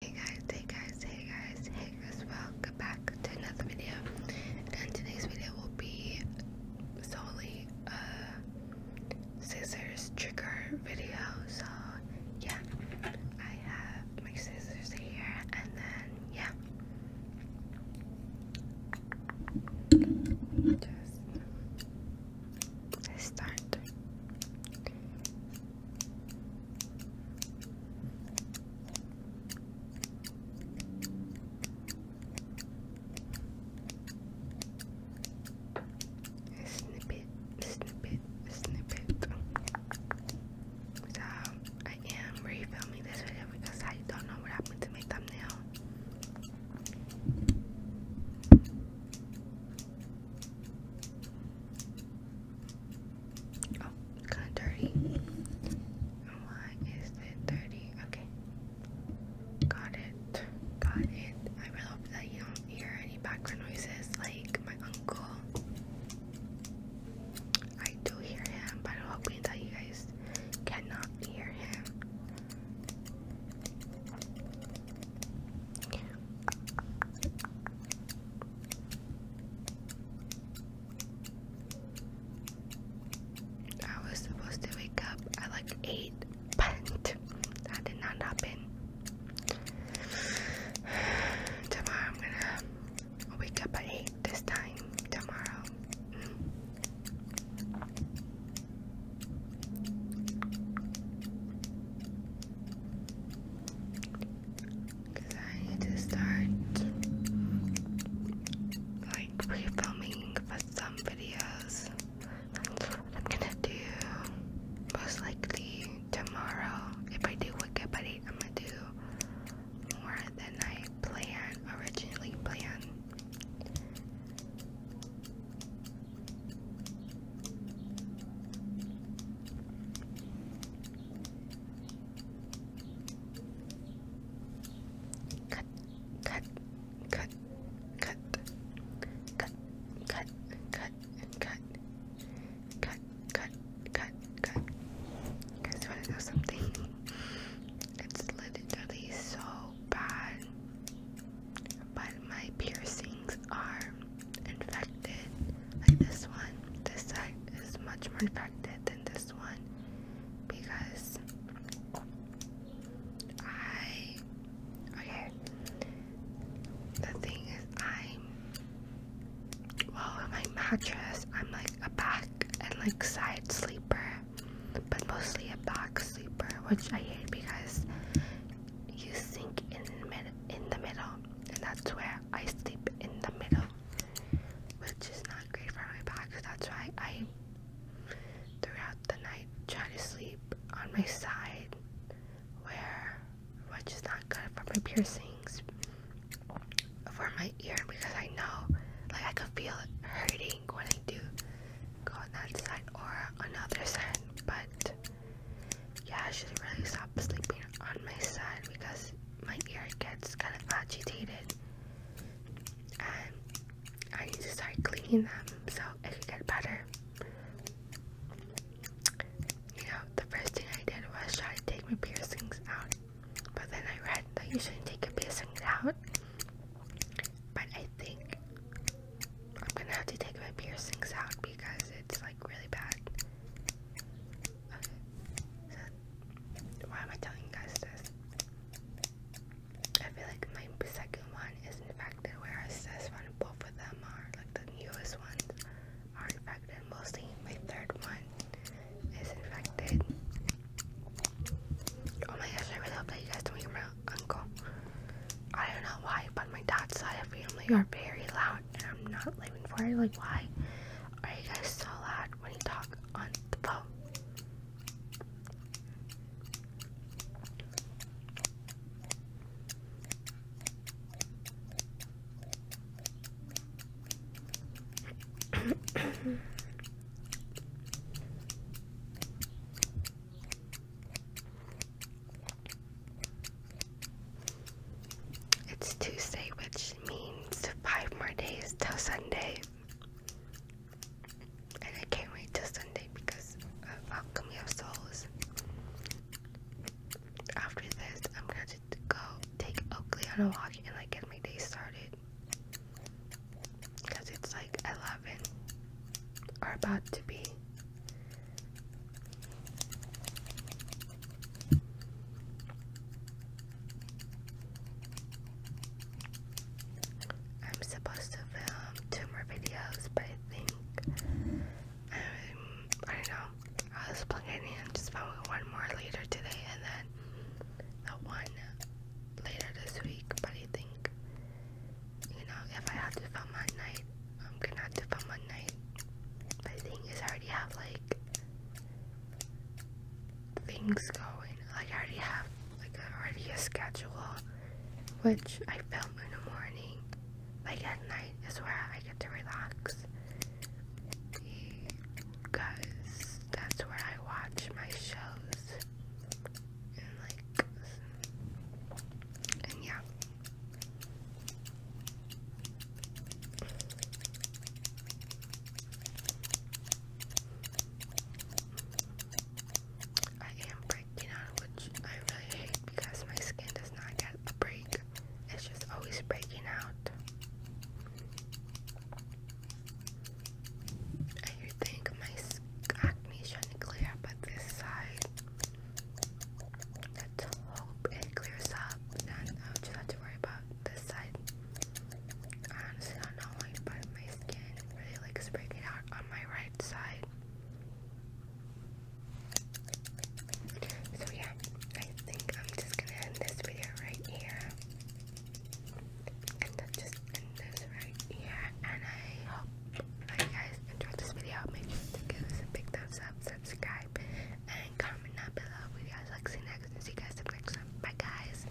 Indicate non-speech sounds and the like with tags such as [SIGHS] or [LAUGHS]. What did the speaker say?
Hey guys, hey guys, hey guys, hey guys, welcome back to another video. And today's video will be solely a scissors trigger video. So, yeah, I have my scissors here, and then, yeah. Just let's start snippet, snippet, snippet. So I am re-filming this video because I don't know what happened to my thumbnail. Oh, it's kind of dirty. why is it dirty? Okay. Got it. Got it. I really hope that you don't hear any background noises like my uncle. I do hear him, but I'm hoping that you guys cannot hear him. I was supposed to wake up at like 8, [LAUGHS] but that did not happen. [SIGHS] Tomorrow I'm gonna wake up at 8 this time tomorrow. Mm. Because I need to start like pre filming for some videos. I'm gonna do most likely tomorrow. If I do wake up at I'm gonna do more than I planned, originally planned. Cut, cut, cut, cut, cut, cut, cut, cut, cut, cut, cut, cut. You guys want to know something? It's literally so bad, but my piercings are infected. Like this one, this side is much more infected than this one because I. Okay. The thing is, i Well, my mattress, I'm like a back and like side sleeper but mostly a back sleeper, which I hate because you sink in mid in the middle, and that's where I sleep in the middle, which is not great for my back. So that's why I, throughout the night, try to sleep on my side, where which is not good for my piercings for my ear because I know like I could feel hurting when I do go on that side or another side but yeah I should really stop sleeping on my side because my ear gets kind of agitated and I need to start cleaning them so it could get better you know the first thing I did was try to take my piercings out but then I read that you shouldn't take a piercing out. But I think I'm gonna have to take my piercings out because it's like really bad. why am I telling guys this? I feel like my second one is infected, whereas this one, both of them are like the newest ones are infected. Mostly my third one is infected. Oh my gosh, I really hope that you guys don't hear my uncle. I don't know why, but my dad's side of family are very loud and I'm not living for it. Like why are you guys so loud when you talk on the phone? [COUGHS] it's Tuesday, which means five more days till Sunday. And I can't wait till Sunday because of Alchemy of Souls after this, I'm gonna go take Oakley on a walk and like get my day started. Cause it's like 11 or about to be. I'm supposed to film two more videos, but I think I don't know. I was planning on just found one more later today and then the one later this week. But I think, you know, if I have to film at night, I'm gonna have to film at night. But the thing is, I already have like things going. I already have like already a schedule, which I film in the morning. Like at night is where I get to relax because that's where I watch my shows and yeah. I am breaking out, which I really hate because my skin does not get a break. It's just always breaking out. And you think my acne is clear up at this side. Let's hope it clears up. Then I'll just have to worry about this side. I honestly don't know why, but my skin really likes breaking out on my right side. So yeah, I think I'm just gonna end this video right here. And then just end this right here. And I hope you guys enjoyed this video. Make sure to give us a big thumbs up, subscribe, and comment down below what guys like see next. And see guys next time. Bye guys.